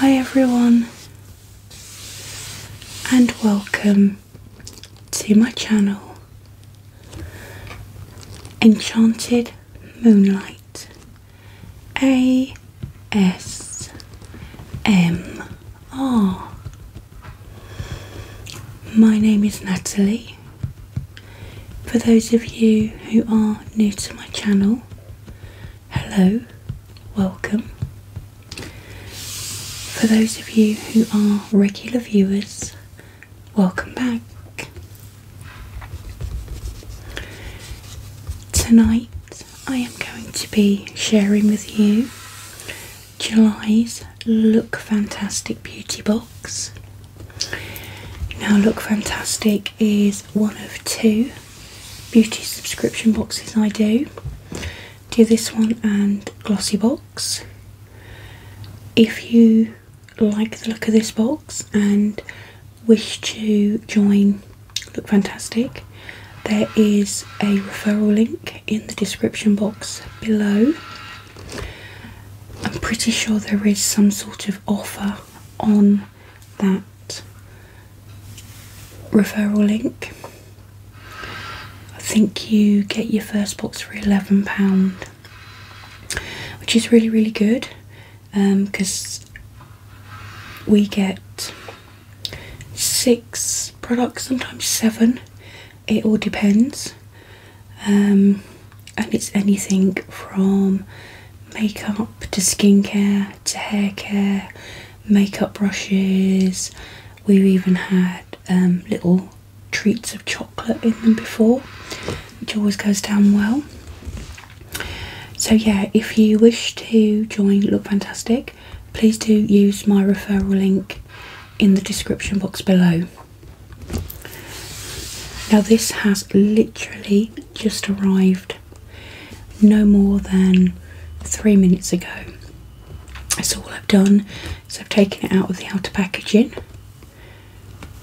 Hi, everyone, and welcome to my channel Enchanted Moonlight A S M R. My name is Natalie. For those of you who are new to my channel, hello, welcome. For those of you who are regular viewers, welcome back. Tonight I am going to be sharing with you July's Look Fantastic Beauty Box. Now, Look Fantastic is one of two beauty subscription boxes I do. Do this one and Glossy Box. If you like the look of this box and wish to join Look Fantastic, there is a referral link in the description box below. I'm pretty sure there is some sort of offer on that referral link. I think you get your first box for £11, which is really, really good because um, we get six products, sometimes seven, it all depends. Um, and it's anything from makeup to skincare to hair care, makeup brushes. We've even had um, little treats of chocolate in them before, which always goes down well. So, yeah, if you wish to join Look Fantastic, please do use my referral link in the description box below. Now, this has literally just arrived no more than three minutes ago. That's all I've done is I've taken it out of the outer packaging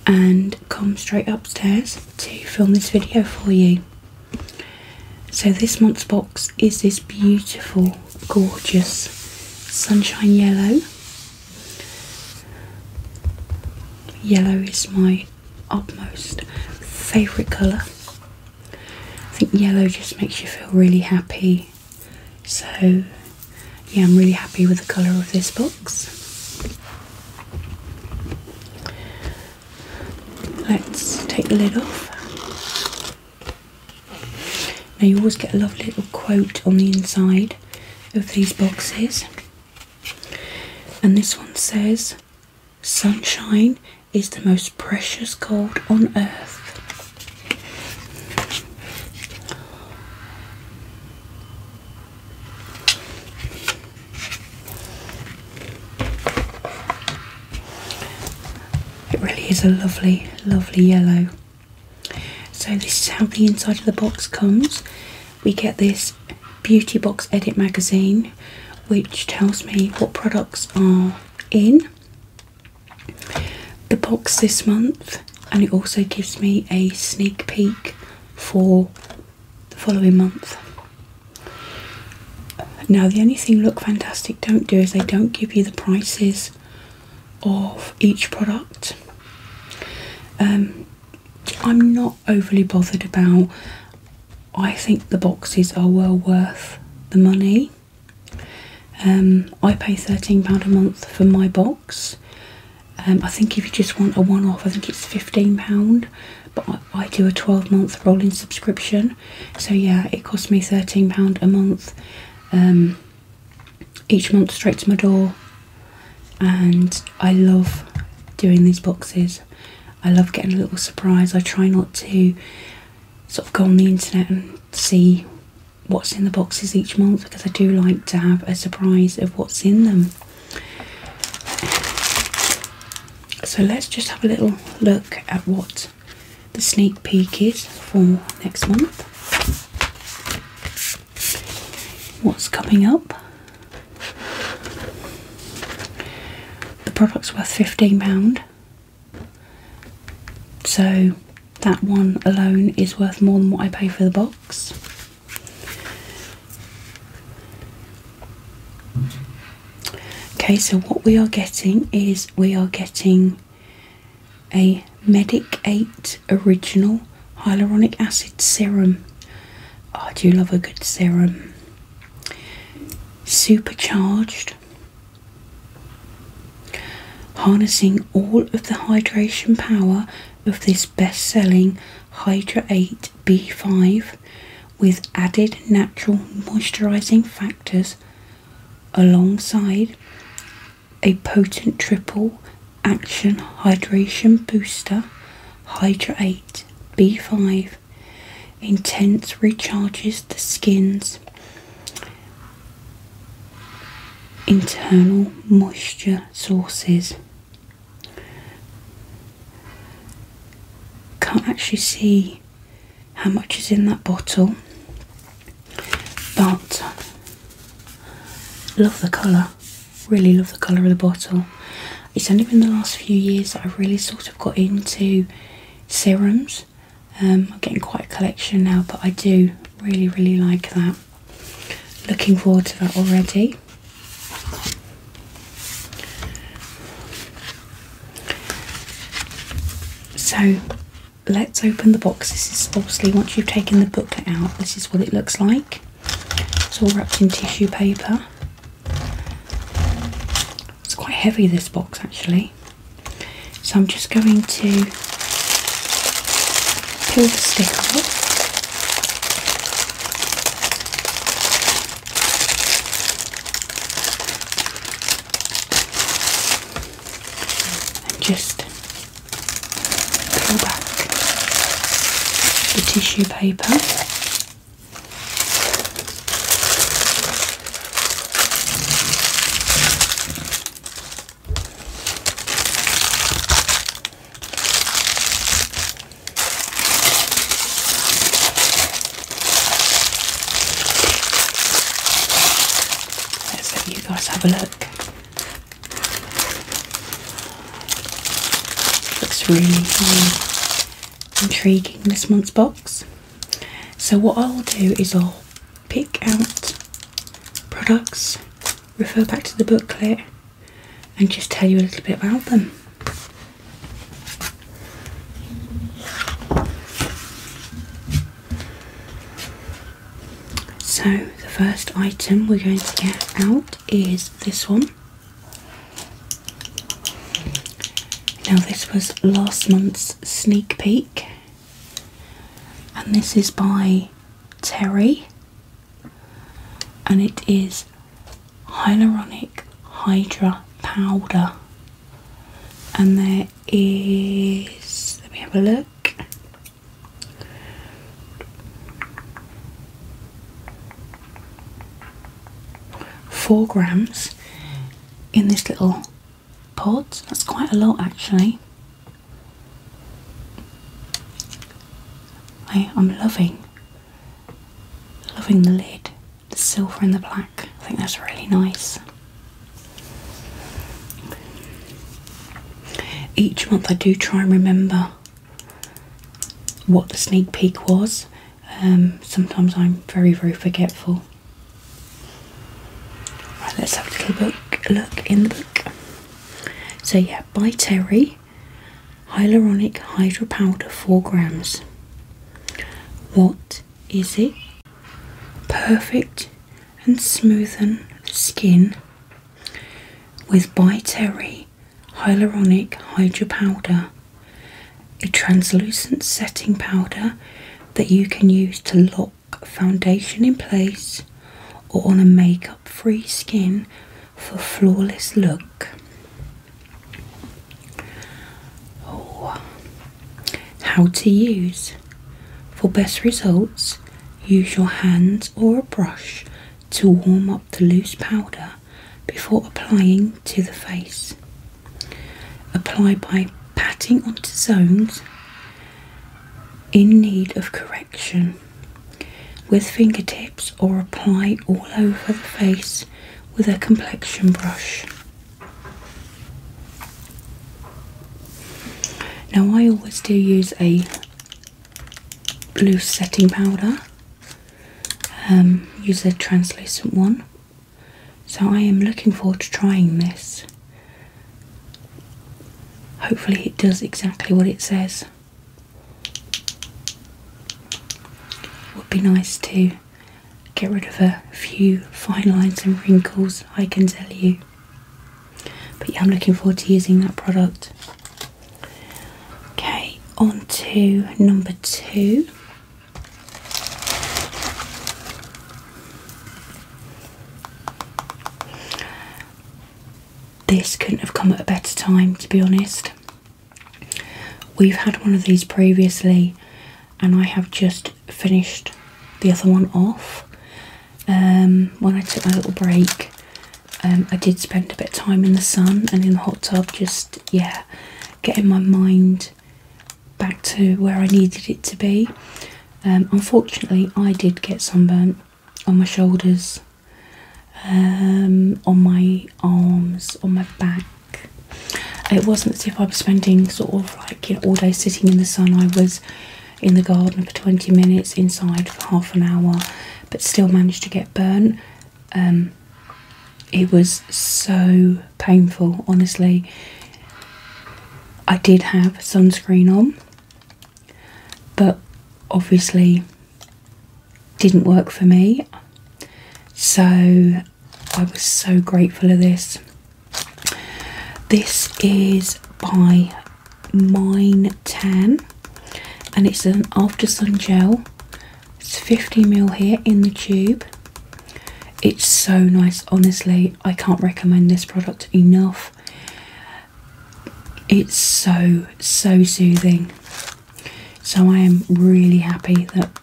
and come straight upstairs to film this video for you. So this month's box is this beautiful, gorgeous sunshine yellow. Yellow is my Upmost favourite colour. I think yellow just makes you feel really happy. So, yeah, I'm really happy with the colour of this box. Let's take the lid off. Now, you always get a lovely little quote on the inside of these boxes. And this one says, Sunshine is the most precious gold on earth. It really is a lovely, lovely yellow. So, this is how the inside of the box comes we get this beauty box edit magazine which tells me what products are in the box this month and it also gives me a sneak peek for the following month. Now the only thing Look Fantastic don't do is they don't give you the prices of each product. Um, I'm not overly bothered about. I think the boxes are well worth the money. Um, I pay £13 a month for my box. Um, I think if you just want a one off, I think it's £15, but I, I do a 12 month rolling subscription. So, yeah, it costs me £13 a month um, each month straight to my door and I love doing these boxes. I love getting a little surprise. I try not to sort of go on the internet and see what's in the boxes each month because I do like to have a surprise of what's in them. So let's just have a little look at what the sneak peek is for next month what's coming up. The product's worth £15, so that one alone is worth more than what I pay for the box. Okay, so what we are getting is we are getting a Medic 8 original hyaluronic acid serum. I oh, do love a good serum. Supercharged. Harnessing all of the hydration power of this best selling Hydra 8 B5 with added natural moisturising factors alongside a potent triple Action Hydration Booster Hydrate B5 Intense recharges the skin's internal moisture sources. Can't actually see how much is in that bottle, but love the colour really love the colour of the bottle. It's only been the last few years that I've really sort of got into serums. Um, I'm getting quite a collection now, but I do really, really like that. Looking forward to that already. So let's open the box. This is obviously once you've taken the booklet out, this is what it looks like. It's all wrapped in tissue paper. It's quite heavy, this box actually. So I'm just going to peel the sticker off. And just pull back the tissue paper. Let's let you guys have a look Looks really, intriguing, this month's box. So, what I'll do is I'll pick out products, refer back to the booklet, and just tell you a little bit about them. So, the first item we're going to get out is this one. Now, this was last month's sneak peek, and this is by Terry, and it is Hyaluronic Hydra Powder. And there is, let me have a look four grams in this little pod. That's quite a lot actually. I, am loving loving the lid, the silver and the black. I think that's really nice. Each month I do try and remember what the sneak peek was. Um, sometimes I'm very, very forgetful. let's have a little book, look in the book. So yeah, by Terry, hyaluronic hydro powder, four grams. What is it? Perfect and smoothen the skin with by Terry hyaluronic hydra powder, a translucent setting powder that you can use to lock foundation in place or on a makeup free skin for flawless look. Oh, how to use. For best results, use your hands or a brush to warm up the loose powder before applying to the face. Apply by patting onto zones in need of correction with fingertips or apply all over the face with a complexion brush. Now, I always do use a Blue setting powder. Um, use a translucent one. So I am looking forward to trying this. Hopefully it does exactly what it says. Would be nice to get rid of a few fine lines and wrinkles, I can tell you. But yeah, I'm looking forward to using that product. Okay, on to number two. This couldn't have come at a better time, to be honest. We've had one of these previously, and I have just finished the other one off um, when I took my little break. Um, I did spend a bit of time in the sun and in the hot tub, just yeah, getting my mind back to where I needed it to be. Um, unfortunately, I did get sunburnt on my shoulders, um, on my arms, on my back. It wasn't as if I was spending sort of like all day sitting in the sun. I was in the garden for 20 minutes, inside for half an hour, but still managed to get burnt. Um, it was so painful, honestly. I did have sunscreen on, but obviously didn't work for me. So I was so grateful of this. This is by Mine Tan and it's an after sun gel. It's 50ml here in the tube. It's so nice, honestly. I can't recommend this product enough. It's so, so soothing. So I am really happy that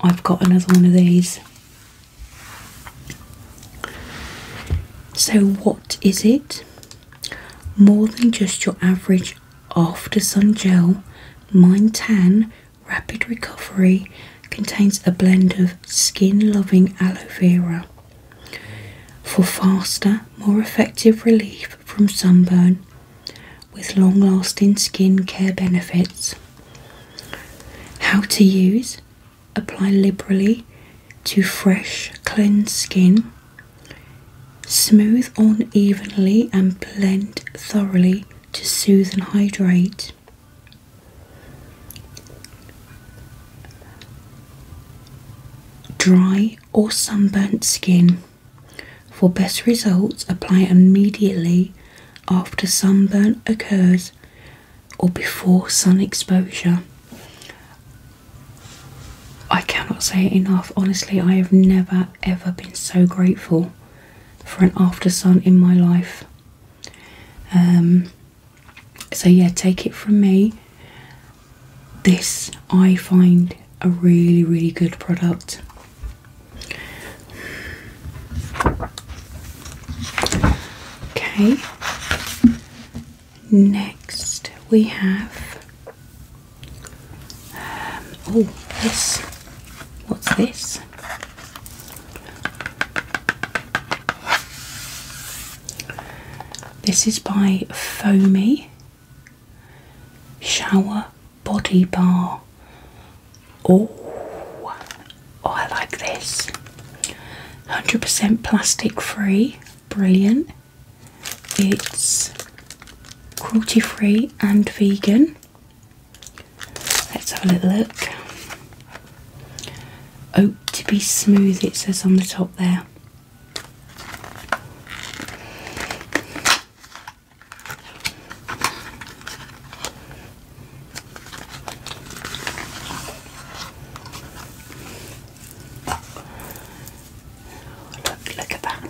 I've got another one of these. So, what is it? More than just your average after sun gel, Mind Tan Rapid Recovery contains a blend of skin loving aloe vera for faster, more effective relief from sunburn with long lasting skin care benefits. How to use apply liberally to fresh, cleansed skin Smooth on evenly and blend thoroughly to soothe and hydrate. Dry or sunburnt skin. For best results, apply immediately after sunburn occurs or before sun exposure. I cannot say it enough. Honestly, I have never ever been so grateful for an after sun in my life. Um, so, yeah, take it from me. This I find a really, really good product. Okay, next we have um, oh, this. What's this? This is by Foamy Shower Body Bar. oh I like this. 100% plastic free. Brilliant. It's cruelty free and vegan. Let's have a little look. Oat to be smooth, it says on the top there. Look, look at that.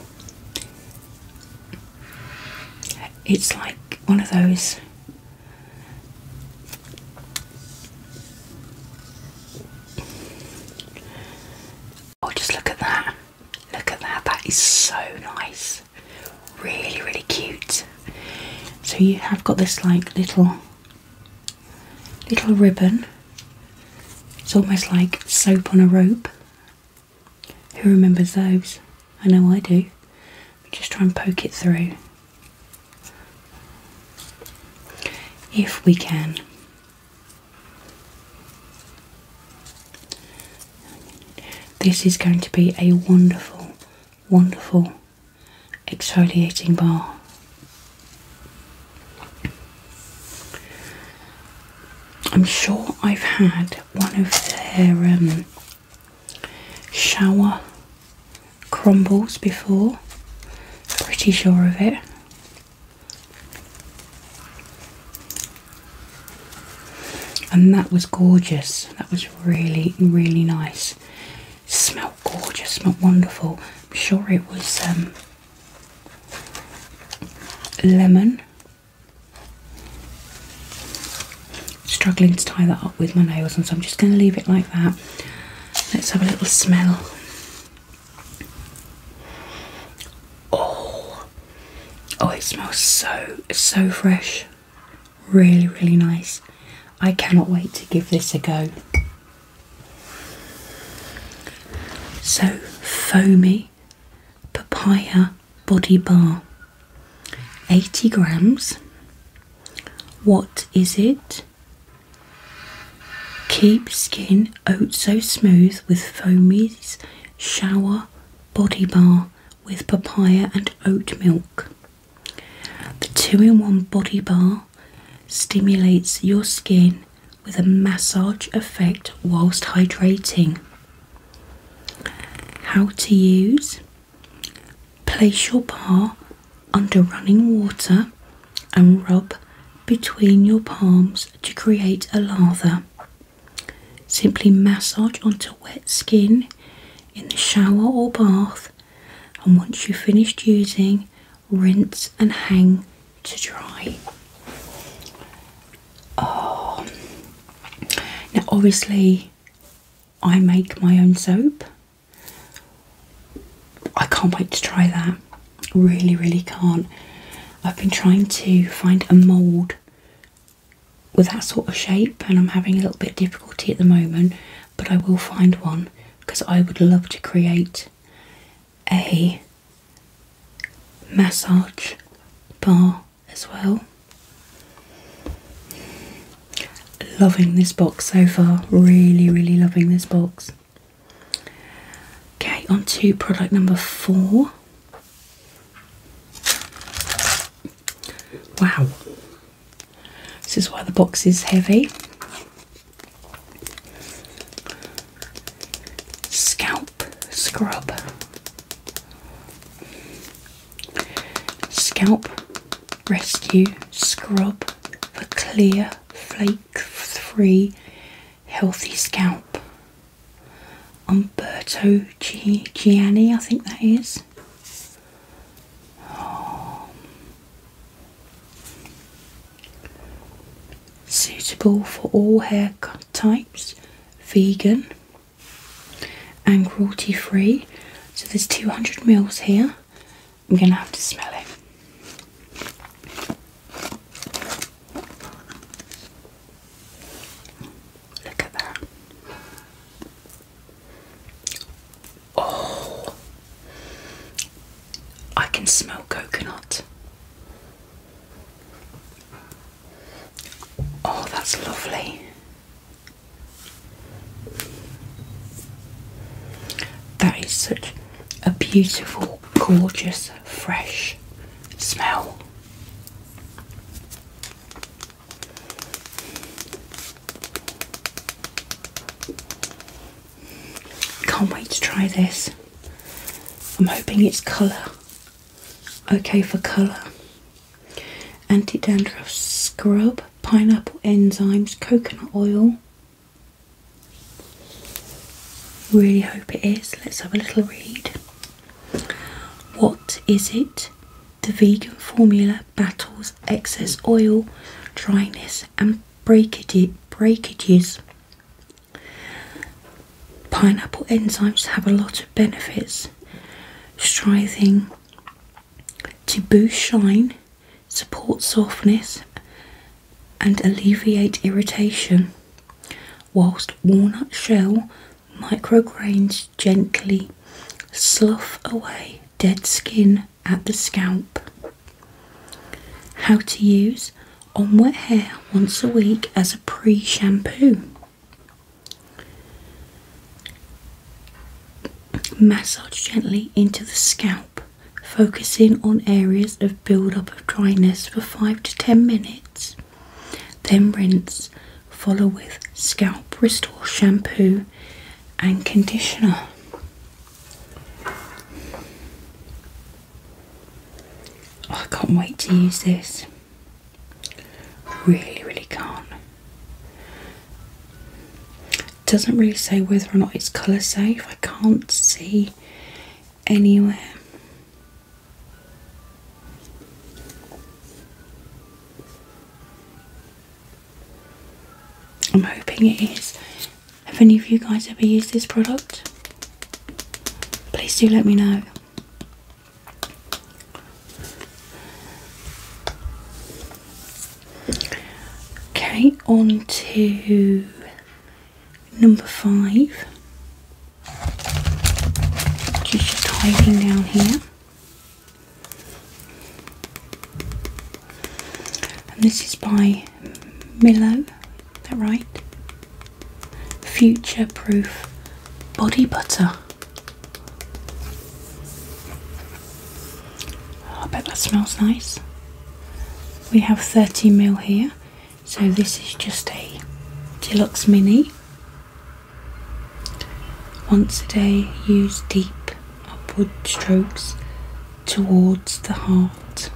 It's like one of those Oh just look at that. Look at that. That is so nice. Really, really cute. So you have got this like little little ribbon it's almost like soap on a rope. Who remembers those? I know I do. Just try and poke it through. If we can. This is going to be a wonderful, wonderful exfoliating bar. I'm sure I've had one of their um, shower crumbles before, pretty sure of it. And that was gorgeous, that was really, really nice. Smelled gorgeous, smelled wonderful. I'm sure it was um, lemon. Struggling to tie that up with my nails, and so I'm just going to leave it like that. Let's have a little smell. Oh, oh, it smells so so fresh. Really, really nice. I cannot wait to give this a go. So foamy papaya body bar 80 grams what is it keep skin oat so smooth with foamy's shower body bar with papaya and oat milk the two-in-one body bar stimulates your skin with a massage effect whilst hydrating. How to use Place your bar under running water and rub between your palms to create a lather. Simply massage onto wet skin in the shower or bath, and once you've finished using, rinse and hang to try. Um, now, obviously, I make my own soap. I can't wait to try that. Really, really can't. I've been trying to find a mould with that sort of shape, and I'm having a little bit of difficulty at the moment, but I will find one because I would love to create a massage bar as well. Loving this box so far, really, really loving this box. Okay, on to product number four. Wow, this is why the box is heavy. Scalp Scrub. Scalp Rescue Scrub for clear, flake free, healthy scalp. Umberto G Gianni, I think that is. Suitable for all haircut types, vegan and cruelty free. So there's 200 mils here. I'm going to have to smell it. Look at that. Oh, I can smell coconut. Oh, that's lovely. That is such a beautiful, gorgeous, fresh smell. Can't wait to try this. I'm hoping it's colour. Okay for colour. Anti dandruff scrub, pineapple enzymes, coconut oil. Really hope it is. Let's have a little read. What is it? The vegan formula battles excess oil, dryness, and breakage, breakages Pineapple enzymes have a lot of benefits, striving to boost shine, support softness, and alleviate irritation, whilst walnut shell micrograins gently slough away dead skin at the scalp. How to use on wet hair once a week as a pre shampoo. Massage gently into the scalp, focusing on areas of build up of dryness for 5 to 10 minutes. Then rinse, follow with scalp restore shampoo and conditioner. I can't wait to use this. Really, really can't. doesn't really say whether or not it's colour safe. I can't see anywhere. I'm hoping it is. Have any of you guys ever used this product? Please do let me know. Okay, on to number five. Just hiding down here. And this is by Milo, that right? Future Proof Body Butter. I bet that smells nice. We have 30 mil here, so this is just a deluxe mini. Once a day, use deep upward strokes towards the heart.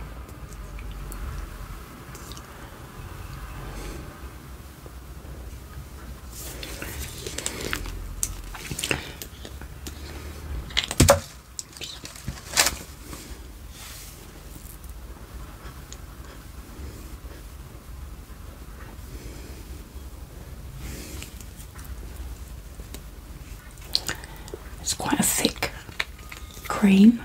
It's quite a thick cream,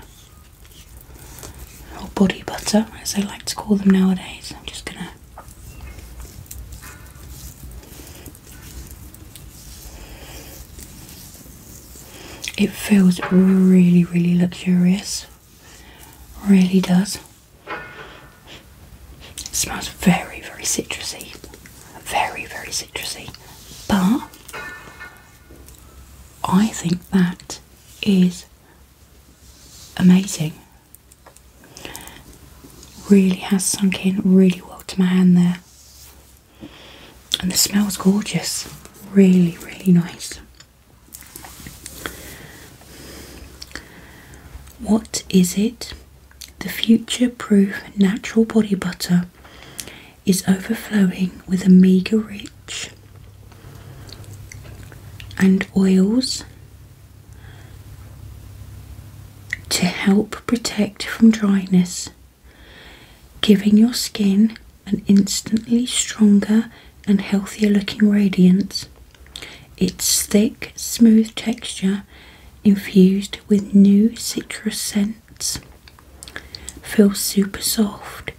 or body butter as I like to call them nowadays. I'm just gonna it feels really, really luxurious. Really does. smells very, very citrusy. Very, very citrusy. But I think that is amazing. Really has sunk in really well to my hand there. And the smell's gorgeous. Really, really nice. What is it? The Future Proof Natural Body Butter is overflowing with a meager rich and oils to help protect from dryness, giving your skin an instantly stronger and healthier looking radiance. Its thick, smooth texture infused with new citrus scent minutes. Feels super soft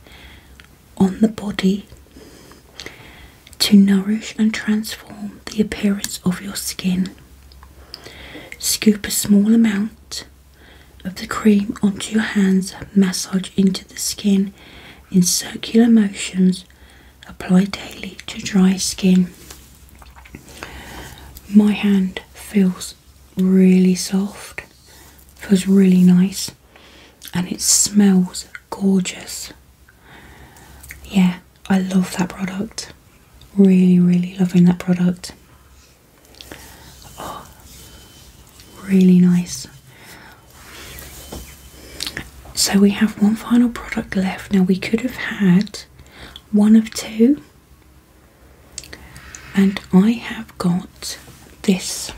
on the body to nourish and transform the appearance of your skin. Scoop a small amount of the cream onto your hands, massage into the skin in circular motions, apply daily to dry skin. My hand feels really soft, feels really nice and it smells gorgeous. Yeah, I love that product. Really, really loving that product. Oh, really nice. So we have one final product left. Now we could have had one of two and I have got this.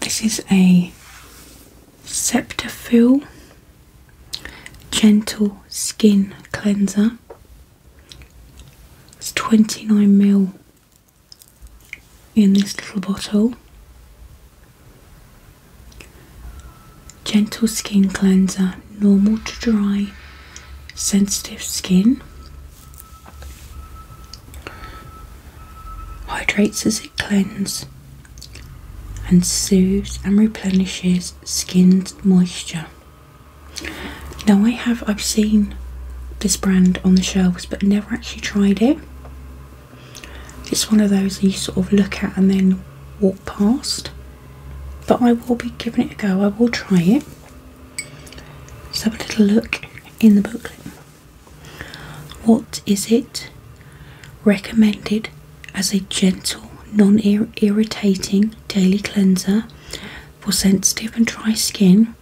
This is a Septafil Gentle Skin Cleanser. It's 29ml in this little bottle. Gentle Skin Cleanser, normal to dry, sensitive skin. Hydrates as it cleans and soothes and replenishes skin's moisture. Now I have I've seen this brand on the shelves but never actually tried it. It's one of those you sort of look at and then walk past. But I will be giving it a go, I will try it. Let's have a little look in the booklet. What is it recommended as a gentle, non irritating daily cleanser for sensitive and dry skin?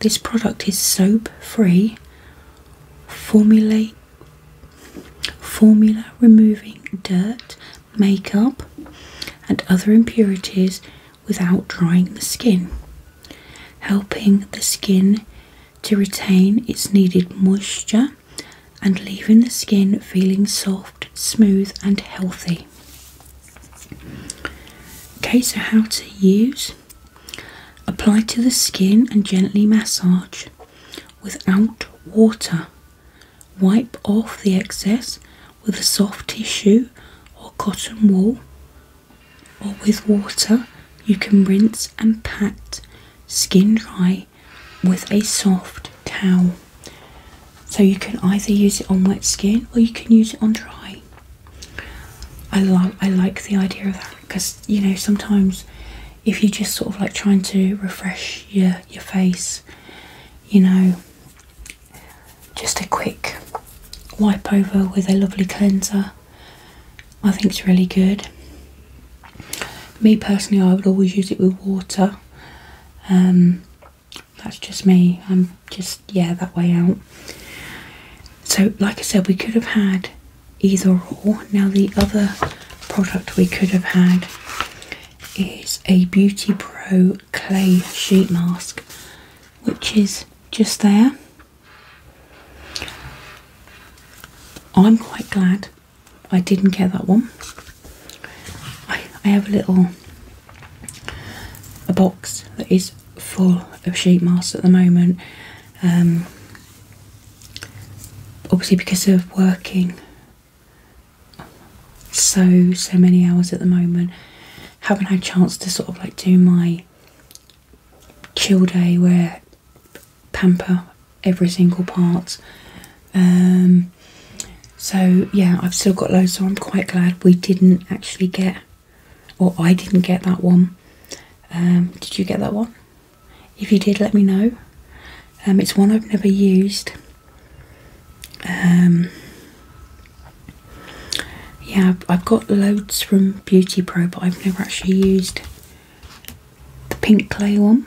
This product is soap free, formulate Formula removing dirt, makeup, and other impurities without drying the skin, helping the skin to retain its needed moisture and leaving the skin feeling soft, smooth, and healthy. Okay, so how to use apply to the skin and gently massage without water Wipe off the excess with a soft tissue or cotton wool, or with water, you can rinse and pat skin dry with a soft towel. So you can either use it on wet skin or you can use it on dry. I love I like the idea of that because you know sometimes if you're just sort of like trying to refresh your your face, you know, just a quick wipe over with a lovely cleanser. I think it's really good. Me personally, I would always use it with water. Um, that's just me. I'm just yeah that way out. So, like I said, we could have had either or. Now the other product we could have had is a Beauty Pro clay sheet mask, which is just there. I'm quite glad I didn't get that one. I, I have a little a box that is full of sheet masks at the moment. Um, obviously because of working so so many hours at the moment haven't had a chance to sort of like do my chill day where pamper every single part um so yeah i've still got loads so i'm quite glad we didn't actually get or i didn't get that one um did you get that one if you did, let me know. Um, it's one I've never used. Um, yeah, I've got loads from Beauty Pro, but I've never actually used the pink clay one.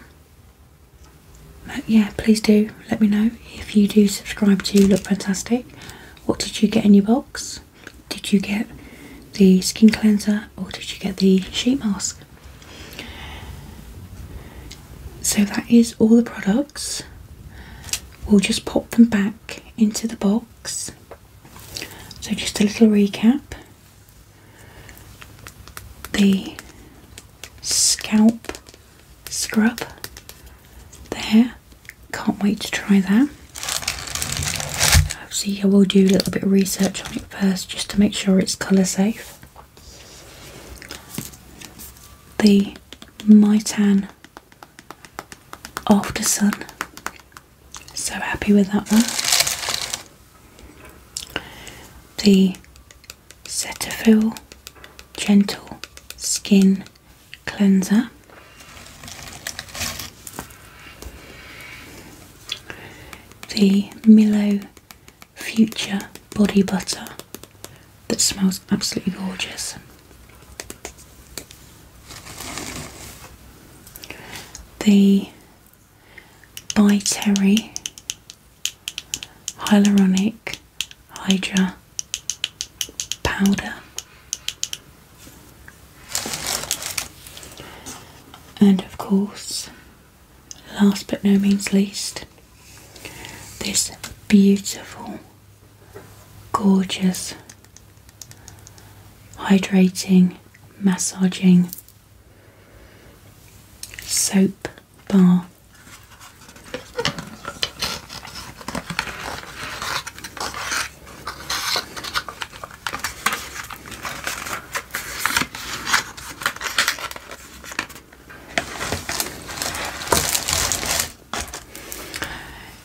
But yeah, please do let me know if you do subscribe to Look Fantastic. What did you get in your box? Did you get the skin cleanser or did you get the sheet mask? So that is all the products. We'll just pop them back into the box. So just a little recap. The scalp scrub there. Can't wait to try that. Obviously I will do a little bit of research on it first just to make sure it's colour safe the Mitan After Sun. So happy with that one. The Cetaphil Gentle Skin Cleanser. The Milo Future body butter that smells absolutely gorgeous. The By Terry Hyaluronic Hydra Powder. And of course, last but no means least, this beautiful, gorgeous, hydrating, massaging soap bar.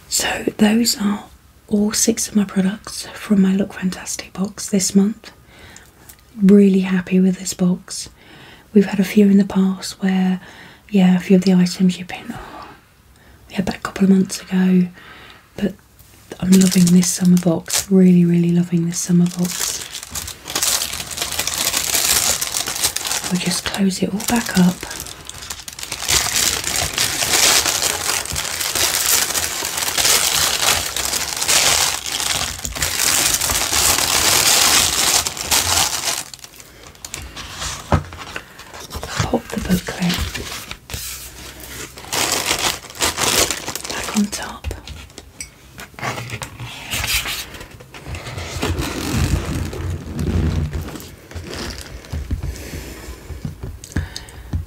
So, those are all six of my products from my Look Fantastic box this month. Really happy with this box. We've had a few in the past where, yeah, a few of the items you've been, oh, we had that a couple of months ago, but I'm loving this summer box. Really, really loving this summer box. We'll just close it all back up. Pop the booklet back on top.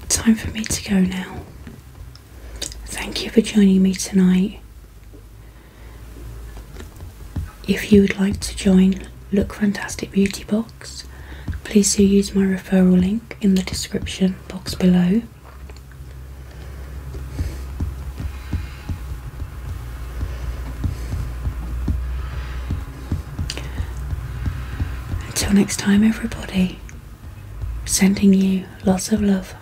Time for me to go now. Thank you for joining me tonight. If you would like to join Look Fantastic Beauty Box, please do use my referral link in the description box below. Until next time, everybody, sending you lots of love.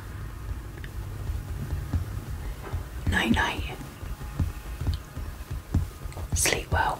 Night night. Sleep well.